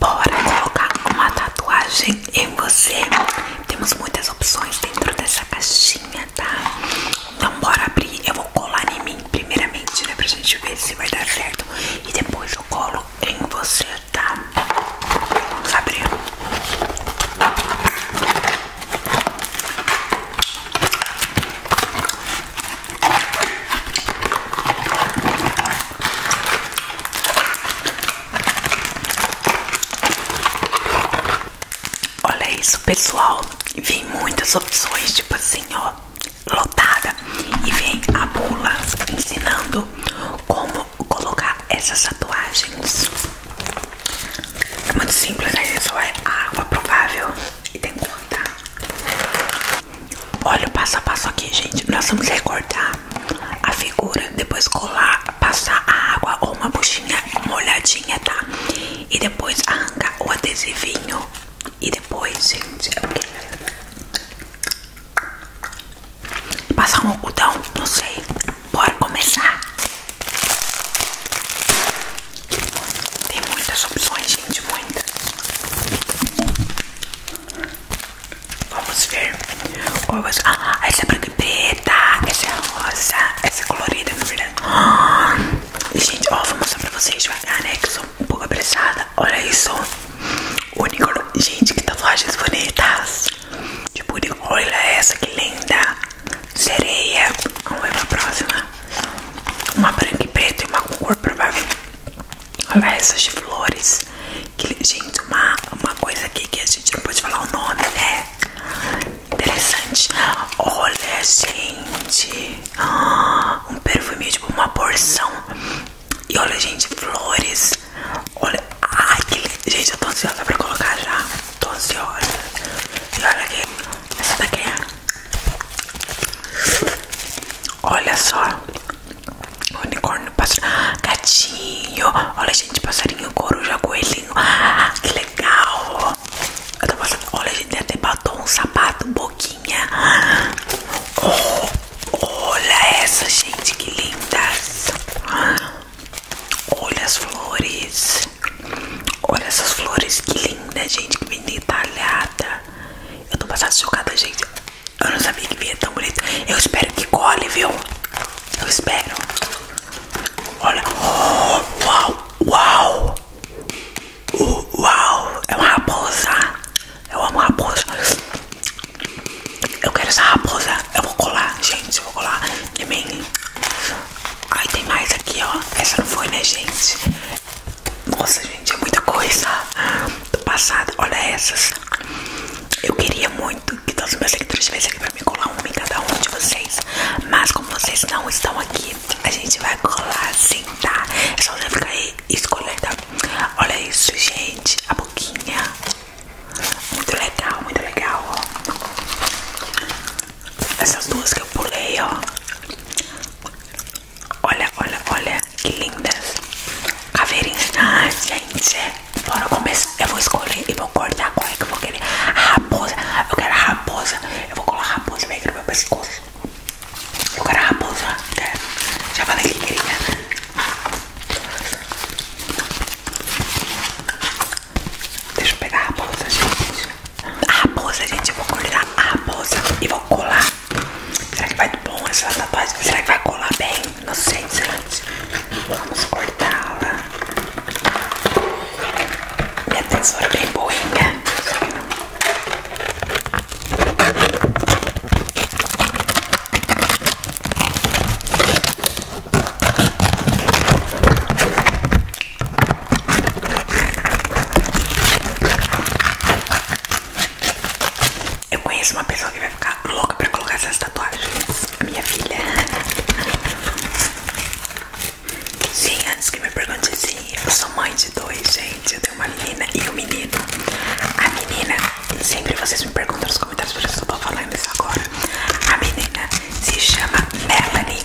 Bora colocar uma tatuagem em você. Temos muitas opções dentro dessa caixinha, tá? Então bora abrir. Eu vou colar em mim primeiramente, né? Pra gente ver se vai dar certo. E depois eu colo em você, tá? Vamos abrir. Olha isso, pessoal. Vem muitas opções, tipo assim, ó, lotada. E vem a bula ensinando como colocar essas tatuagens. É muito simples, né? Só é água provável e tem que cortar. Olha o passo a passo aqui, gente. Nós vamos recortar a figura, depois colar, passar a água ou uma buchinha molhadinha, tá? E depois arrancar o adesivinho. E depois, gente, é passar um algodão, não sei. Bora começar. Tem muitas opções, gente, muitas. Vamos ver. Ah, essa é branca e preta. Essa é rosa. Essa é colorida, na verdade. Ah, gente, ó, vou mostrar pra vocês devagar, né? Que sou um pouco apressada. Olha isso. Unicórnio. Gente, que tatuagens bonitas. Tipo, Olha essa, que linda. Sereia. Vamos ver pra próxima. Uma branca e preta e uma com cor provavelmente. Olha essas flores. Que, gente, uma, coisa aqui que a gente não pode falar o nome, né? Interessante. Olha, gente. Ah, um perfume, tipo, uma porção. E olha, gente, flores. Olha. Ai, que Gente, eu tô ansiosa pra colocar já. Tô ansiosa. E olha aqui. Essa daqui é. Olha só. Unicórnio, gatinho. Olha, gente, passarinho, coruja, coelhinho. Ah, que legal. Olha, gente, tem até batom, sapato, boquinha. olha essa, gente, que lindas. Olha as flores. Olha essas flores, que linda, gente, que bem detalhada. Eu tô passando chocada, gente. Eu não sabia que vinha tão bonita. Eu espero que cole, viu? Eu espero. Olha. Oh, uau, uau. Uh, uau. É uma raposa. Eu amo raposa. Eu quero essa raposa. Eu vou colar, gente. Eu vou colar. E mim. Ai, tem mais aqui, ó. Essa não foi, né, gente? Nossa, gente, é muita coisa do passado. Olha essas. Eu queria muito que todos os meus seguidores estivessem aqui pra me colar uma em cada um de vocês. Mas como vocês não estão aqui, a gente vai colar sim, tá? É só você ficar aí escolhendo. Olha isso, gente. A boquinha. Muito legal, muito legal, ó. Essas duas que eu pulei, ó. Olha, olha, olha que lindas caveirinhas. gente, bora começar. Eu vou escolher e vou cortar qual é que eu vou querer. raposa, eu quero a raposa. Eu vou colar a raposa bem aqui no meu pescoço. Eu quero a raposa. Né? Já falei que queria. Né? Deixa eu pegar a raposa, gente. A raposa, gente, eu vou cortar a raposa e vou colar Será que vai do bom essa tatuagem? Será que vai colar bem? Não sei, gente. Vamos cortá-la. Minha tesoura é bem boa, boinha. Eu conheço uma pessoa que vai ficar louca pra colocar essas tatuagens. A minha filha. Sim, antes que me pergunte sim, eu sou mãe de dois, gente. Eu tenho uma menina e um menino. A menina, sempre vocês me perguntam nos comentários por isso que eu tô falando isso agora. A menina se chama Melanie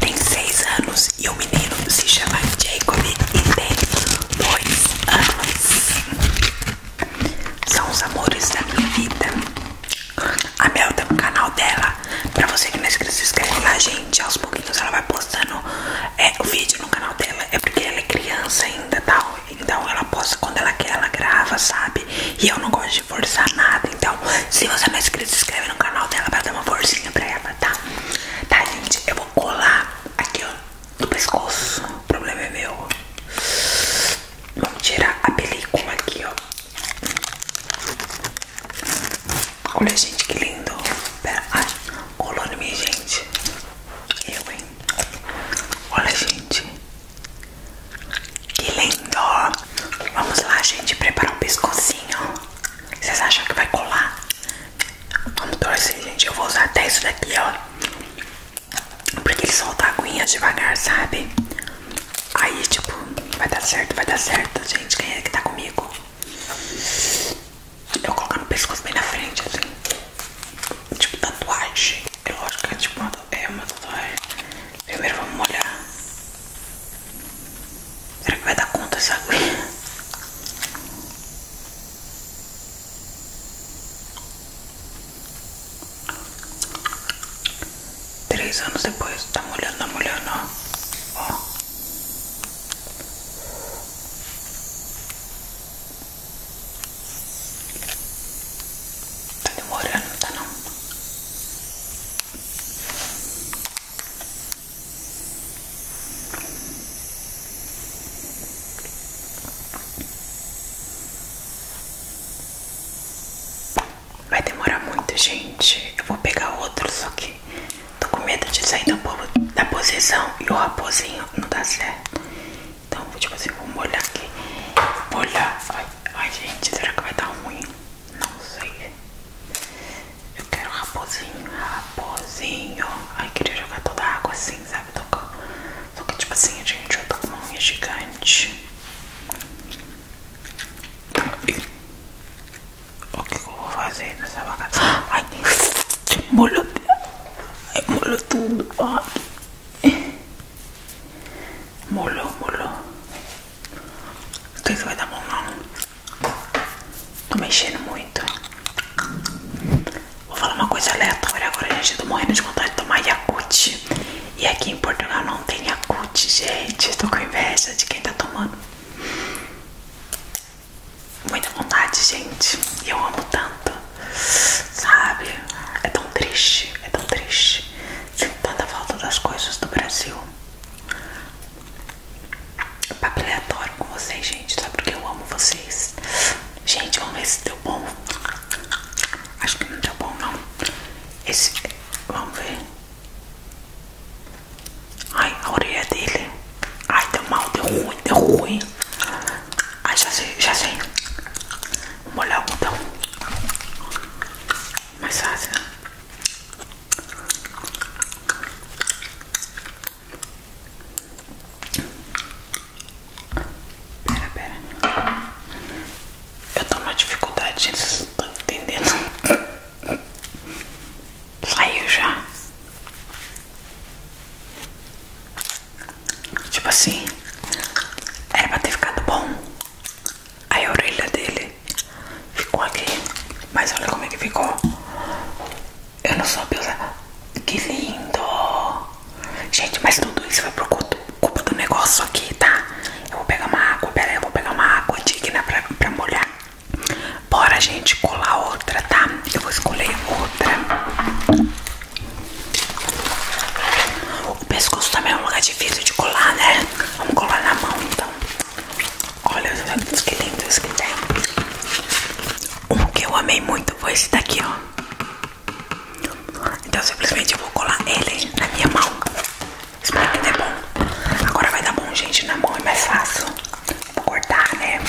tem seis anos. E o menino se chama Jacob e tem dois anos. São os amores da minha vida. A Mel tem tá um canal dela. Pra você que não é inscrito, se inscreve lá, gente. Aos pouquinhos ela vai postando é, o vídeo no canal dela. É porque ela é criança ainda, tal. Então ela posta quando ela quer, ela grava, sabe? E eu não gosto de forçar nada. Então, se você não é inscrito, se inscreve no canal dela pra dar uma forcinha pra ela, tá? Tá, gente? Eu vou colar aqui, ó do pescoço. O problema é meu. Vamos tirar a película aqui, ó. Olha, gente, que lindo. Pera, ai, colou em mim, gente. Eu, hein? Olha, gente. Que lindo. Vamos lá, gente, preparar um pescocinho. Vocês acham que vai colar? Vamos torcer, gente. Eu vou usar até isso daqui, ó. Porque ele solta a aguinha devagar, sabe? Aí, tipo, vai dar certo, vai dar certo, gente. Quem é que tá comigo? Eu coloco no pescoço bem na frente, assim. Tipo, tatuagem. Eu é acho que é tipo é uma, tatuagem. Primeiro vamos molhar. Será que vai dar conta essa aguinha? Teresa, no se puede, está molando, molando, Oh. Está demorando, está no. Vai demorar muito, gente. Eu vou pegar outro, só que tô com medo de sair da, posição e o raposinho não dá certo. Então, tipo assim, vou molhar aqui. Vou molhar. Ai, gente, será que vai dar ruim? Não sei. Eu quero raposinho, raposinho. Ai, queria jogar toda a água assim assim, sabe? Tocar. Só que tipo assim, gente, eu tô com uma unha gigante. Tá, o que, eu vou fazer nessa bagaça? Ai, molhou. Ai, molhou tudo. Ai. Molhou, molhou. Não sei se vai dar bom não. Tô mexendo muito. Vou falar uma coisa aleatória agora, gente. tô tá morrendo de vontade de tomar Yakut. E aqui em Portugal não tem Yakut, gente. Tô com inveja de quem tá tomando. Muita vontade, gente. E eu amo tanto. Sabe? É tão triste, é tão triste. Sinto tanta falta das coisas do Brasil. Papo aleatório com vocês, gente. Só porque eu amo vocês? Gente, vamos ver se deu bom. Acho que não deu bom, não. Esse. Vamos ver. Ai, a orelha dele. Ai, deu mal, deu ruim, deu ruim. Ai, já sei, já sei. Vou molhar o botão. Mais fácil. Pera, pera. Eu tô numa dificuldade, gente. Vocês não estão entendendo. Saiu já. Tipo assim, era pra ter ficado bom. Aí a orelha dele ficou aqui. Mas olha como é que ficou. Eu não soube usar. Que lindo! Gente, mas tudo isso foi por culpa do negócio aqui, tá? Eu vou pegar uma água, pera eu vou pegar uma água digna pra, molhar. Bora, gente, colar outra, tá? Eu vou escolher outra. O pescoço também é um lugar difícil de colar, né? Vamos colar na mão, então. Olha, que lindo isso que tem. Um que eu amei muito foi esse daqui, ó. Então simplesmente eu vou colar ele na minha mão. Espero que dê bom. Agora vai dar bom, gente, na mão é mais fácil. Vou cortar, né?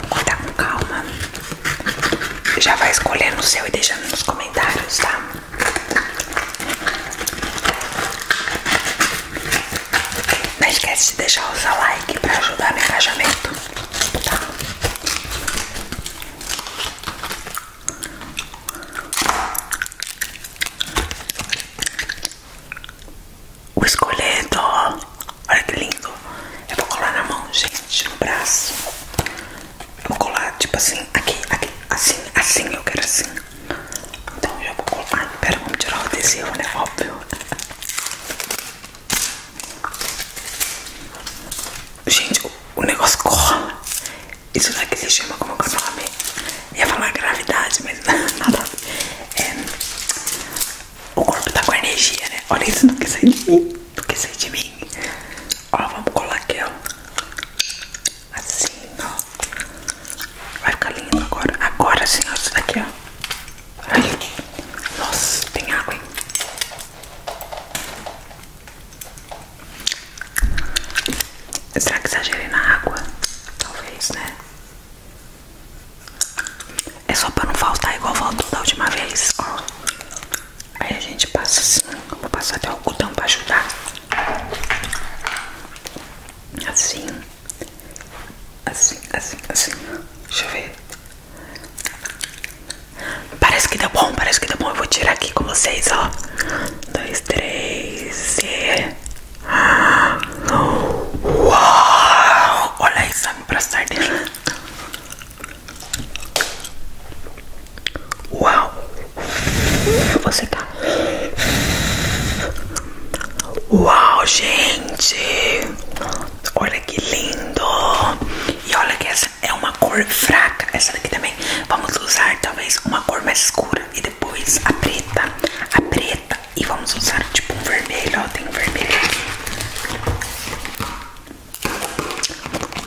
Vou cortar com calma. Já vai escolher no seu e deixando nos comentários, tá? Não esquece de deixar o seu like pra ajudar no engajamento. O esqueleto, olha que lindo. Eu vou colar na mão, gente, no braço. Eu vou colar tipo assim, aqui, aqui, assim, assim, eu quero assim. Então já vou colar. Pera, vamos tirar o adesivo, né? Óbvio. Gente, o, negócio cola. Isso daqui é se chama como que é o Ia falar gravidade, mas nada. É, o corpo tá com energia, né? Olha isso, não que sair de mim. Não quer sair de mim. Ó, vamos colar aqui, ó. Assim, ó. Vai ficar lindo agora. Agora sim, ó. Isso daqui, ó. Ai, nossa, tem água, hein? Será que exagerei na água? Talvez, né? É só pra não faltar igual faltou da última vez, Aí a gente passa assim, vou passar até o algodão pra ajudar. Assim. Assim, assim, assim. Deixa eu ver. Parece que deu bom, parece que deu bom. Eu vou tirar aqui com vocês, ó. Dois, três e. Uau! Olha isso, sabe pra sardinha. Uau! Você tá. Uau, gente! Olha que lindo! E olha que essa é uma cor fraca. Essa daqui também. Vamos usar talvez uma cor mais escura e depois a preta. A preta. E vamos usar tipo um vermelho. Ó, tem um vermelho aqui.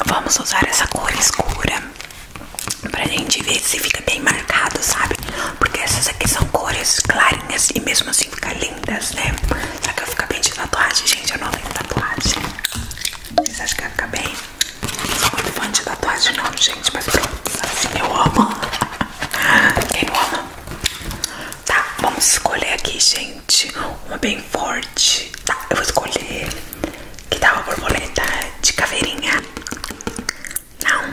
Vamos usar essa cor escura pra gente ver se fica bem marcado, sabe? Porque essas aqui são cores clarinhas e mesmo assim fica lindo lindas, né? Será que eu ficar bem de tatuagem? Gente, eu não tenho tatuagem. Vocês acham que eu ficar bem? Não sou muito fã de tatuagem não, gente, mas pronto, assim eu amo. Quem não ama? Tá, vamos escolher aqui, gente, uma bem forte. Tá, eu vou escolher que dava borboleta de caveirinha. Não.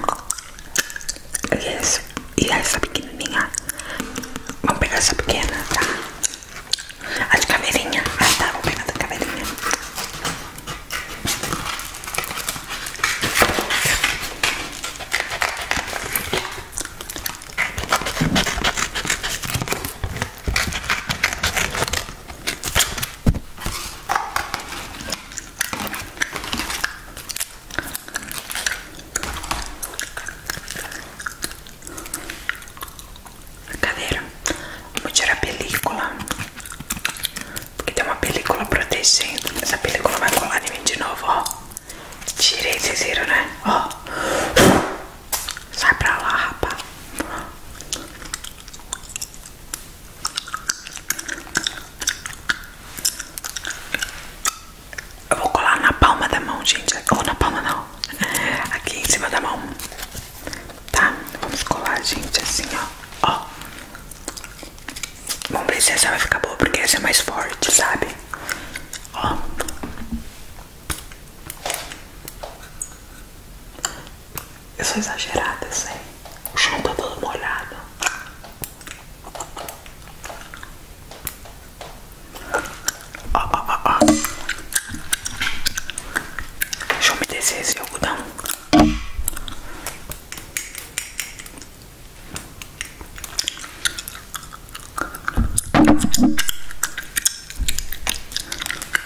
Isso. e essa pequenininha. Vamos pegar essa pequena, tá? A de Ah, tá, vou pegar a Cadeira, vou é tirar a película, porque tem uma película protegendo. Essa película vai colar em mim de novo, ó. Tirei, vocês viram, né? Ó, sai pra lá, rapaz. Eu vou colar na palma da mão, gente. Ou na palma não. Aqui em cima da mão. Tá? Vamos colar, gente, assim, ó. Ó. Vamos ver se essa vai ficar boa, porque essa é mais forte, sabe? Ó. Eu sou exagerada, eu sei. O chão tá todo molhado. Ó, ó, ó, ó. Deixa eu me descer esse algodão.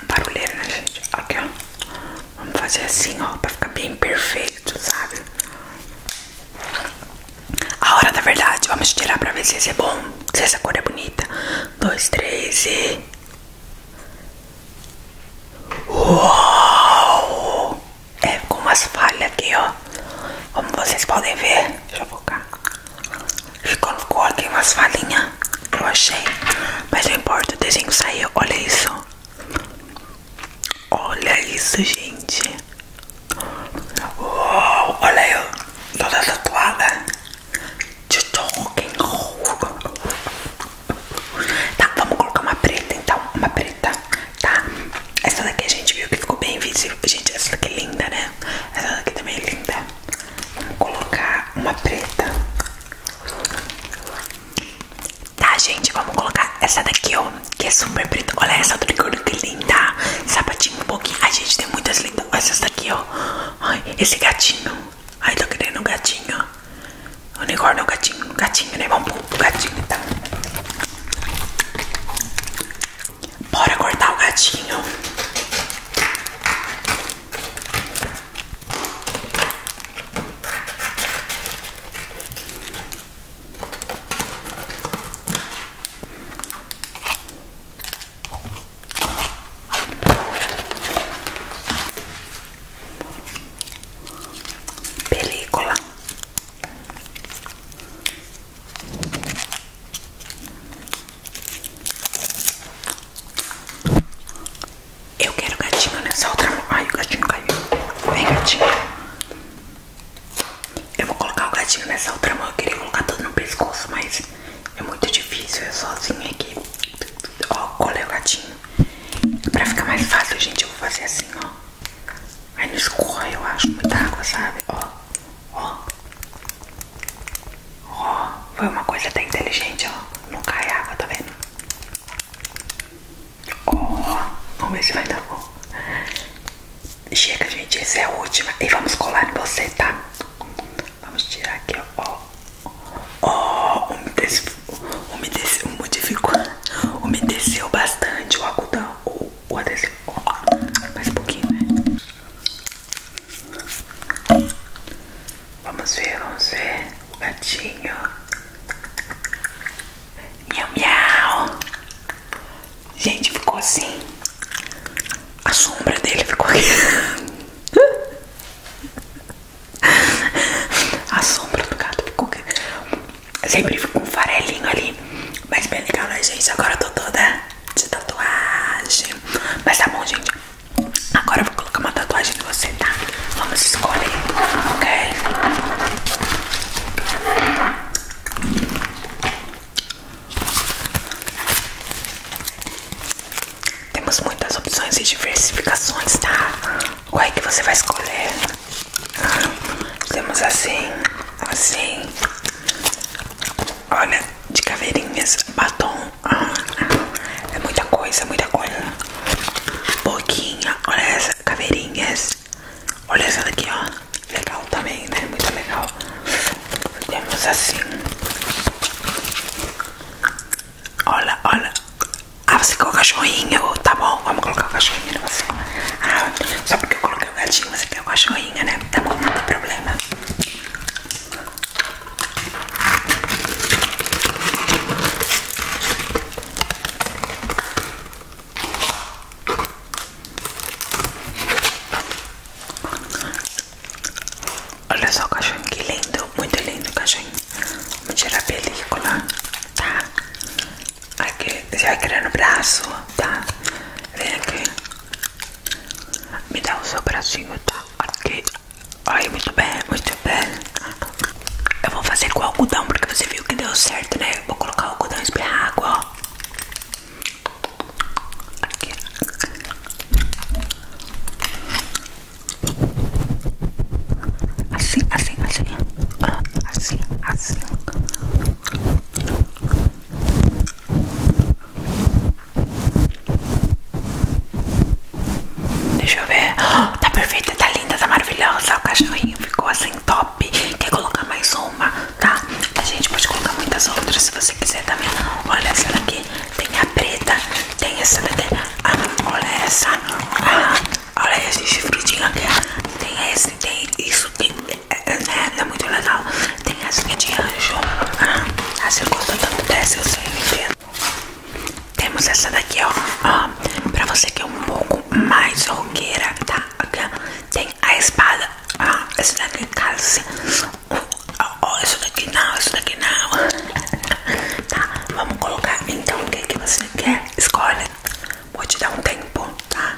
Barulheira, né, gente? Aqui, ó. Vamos fazer assim, ó, pra ficar bem perfeito, sabe? A hora da verdade. Vamos tirar pra ver se esse é bom. Se essa cor é bonita. Dois, três Uau! É com umas falhas aqui, ó. Como vocês podem ver. Deixa eu focar. Ficou, ficou aqui umas falhinhas. Eu achei. Mas não importa, o desenho saiu. Olha isso. Olha isso, gente. Uou, olha aí, toda tatuada de Tolkien. Tá, vamos colocar uma preta então, uma preta, tá? Essa daqui a gente viu que ficou bem visível. Gente, essa daqui é linda, né? Essa daqui também é linda. Vamos colocar uma preta. Tá, gente, vamos colocar essa daqui, ó que é super preta. Olha essa do unicórnio que linda. Sapatinho um pouquinho. A gente tem muitas lindas. Essas daqui, ó. Ai, esse gatinho. Ai, tô querendo um gatinho. O unicórnio é um gatinho. Um gatinho, né? Vamos pro gatinho, tá. Bora cortar o gatinho película eu quero gatinho nessa outra Ai, o gatinho caiu. Vem, gatinho. Eu vou colocar o gatinho nessa outra mão. Eu queria colocar todo no pescoço, mas é muito difícil. É sozinha aqui. Ó, colei o gatinho. Pra ficar mais fácil, gente, eu vou fazer assim, ó. Aí não escorre, eu acho, muita água, sabe? Ó, ó. Ó, foi uma coisa até inteligente, ó. Não cai água, tá vendo? Ó, vamos ver se vai dar bom. Chega, gente, essa é a última. E vamos colar em você, tá? Vamos tirar aqui, ó. Ó, oh, umedeceu, umedeceu, modificou. Umedeceu bastante o algodão. O, o adesivo. Mais um pouquinho, né? Vamos ver, vamos ver. O gatinho. Miau, miau. Gente, ficou assim. A sombra dele ficou aqui. A sombra do gato ficou aqui. Sempre fica um farelinho ali. Mas bem legal, né, gente? Agora eu tô toda de tatuagem. Mas tá bom, gente. Agora eu vou colocar uma tatuagem em você, tá? Vamos escolher, ok? Temos muitas opções e diversificações, tá? Qual é que você vai escolher? temos assim, assim. Olha, de caveirinhas, batom. é muita coisa, muita coisa. Boquinha, olha essas caveirinhas. Olha essa daqui, ó. Legal também, né? Muito legal. Temos assim. Olha, olha. Ah, você quer o cachorrinho. Tá bom, vamos colocar o cachorrinho no você. Ah, só porque eu coloquei o gatinho, você quer o cachorrinho, né? Tá bom, não tem problema. Olha só o cachorro, que lindo, muito lindo o cachorro. Vamos tirar a película, tá? Aqui, você vai querer no braço, tá? Vem aqui. Me dá o seu bracinho, tá? Aqui. Ai, muito bem, muito bem. Eu vou fazer com algodão, porque você viu que deu certo, né? Vou colocar o algodão e espirrar água, ó. Aqui. Assim, assim, assim. Assim, assim. Deixa eu ver. Tá perfeita, tá linda, tá maravilhosa. O cachorrinho ficou assim top. Quer colocar mais uma? tá? A gente pode colocar muitas outras se você quiser também. Olha essa daqui, tem a preta, tem essa daqui, ah, olha essa, ah, olha esse chifridinho aqui, tem esse, tem isso, tem, é, é, é, é muito legal. Tem essa é de anjo, a segunda quando acontece eu sei, Temos essa daqui, ó, ó, ah, pra você que é um pouco mais roqueira, tá? aqui tem a espada. Ah, esse daqui casa. Oh, assim. isso daqui não, isso daqui não. Tá, vamos colocar então o que, você quer. Escolhe. Vou te dar um tempo, tá?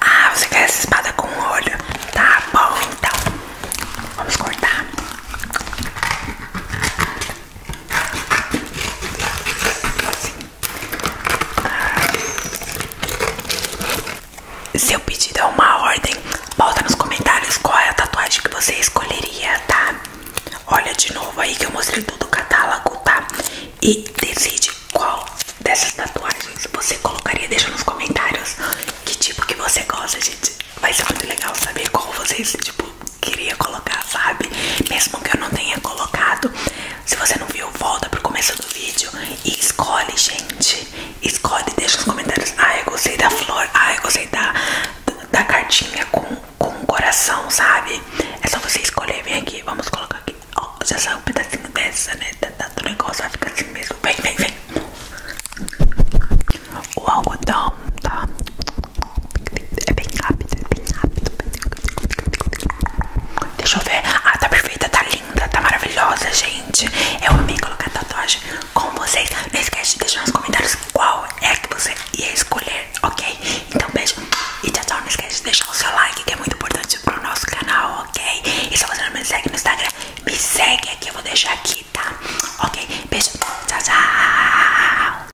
Ah, você quer essa espada com olho? Tá bom, então. Vamos cortar. Seu pedido é uma ordem. Bota nos comentários qual é a tatuagem que você escolheria, tá? Olha de novo aí que eu mostrei todo o catálogo, tá? E decide qual dessas tatuagens você colocaria. Deixa nos comentários que tipo que você gosta, gente. Vai ser muito legal saber qual vocês, tipo, queria colocar, sabe? Mesmo que eu não tenha colocado. Se você não viu, volta pro começo do vídeo e escolhe, gente. Escolhe, deixa nos comentários. Ah, eu gostei da flor. Ah, eu gostei da, da cartinha com, com o coração, sabe? É só você escolher. Vem aqui, vamos colocar aqui. Ó, já saiu um pedacinho dessa, né? Da, da, do negócio vai ficar assim mesmo. Vem, vem, vem. O algodão, tá? É bem rápido, é bem rápido. Deixa eu ver. Ah, tá perfeita, tá linda, tá maravilhosa, gente. Eu amei colocar tatuagem com vocês. Não esquece de deixar nos comentários qual é que você ia escolher, ok? Então, beijo e tchau, tchau. Não esquece de deixar o seu like, que é muito importante pro nosso canal, ok? E se você não me segue no Instagram, me segue aqui. Eu vou deixar aqui, tá? Ok? Beijo, tchau, tchau.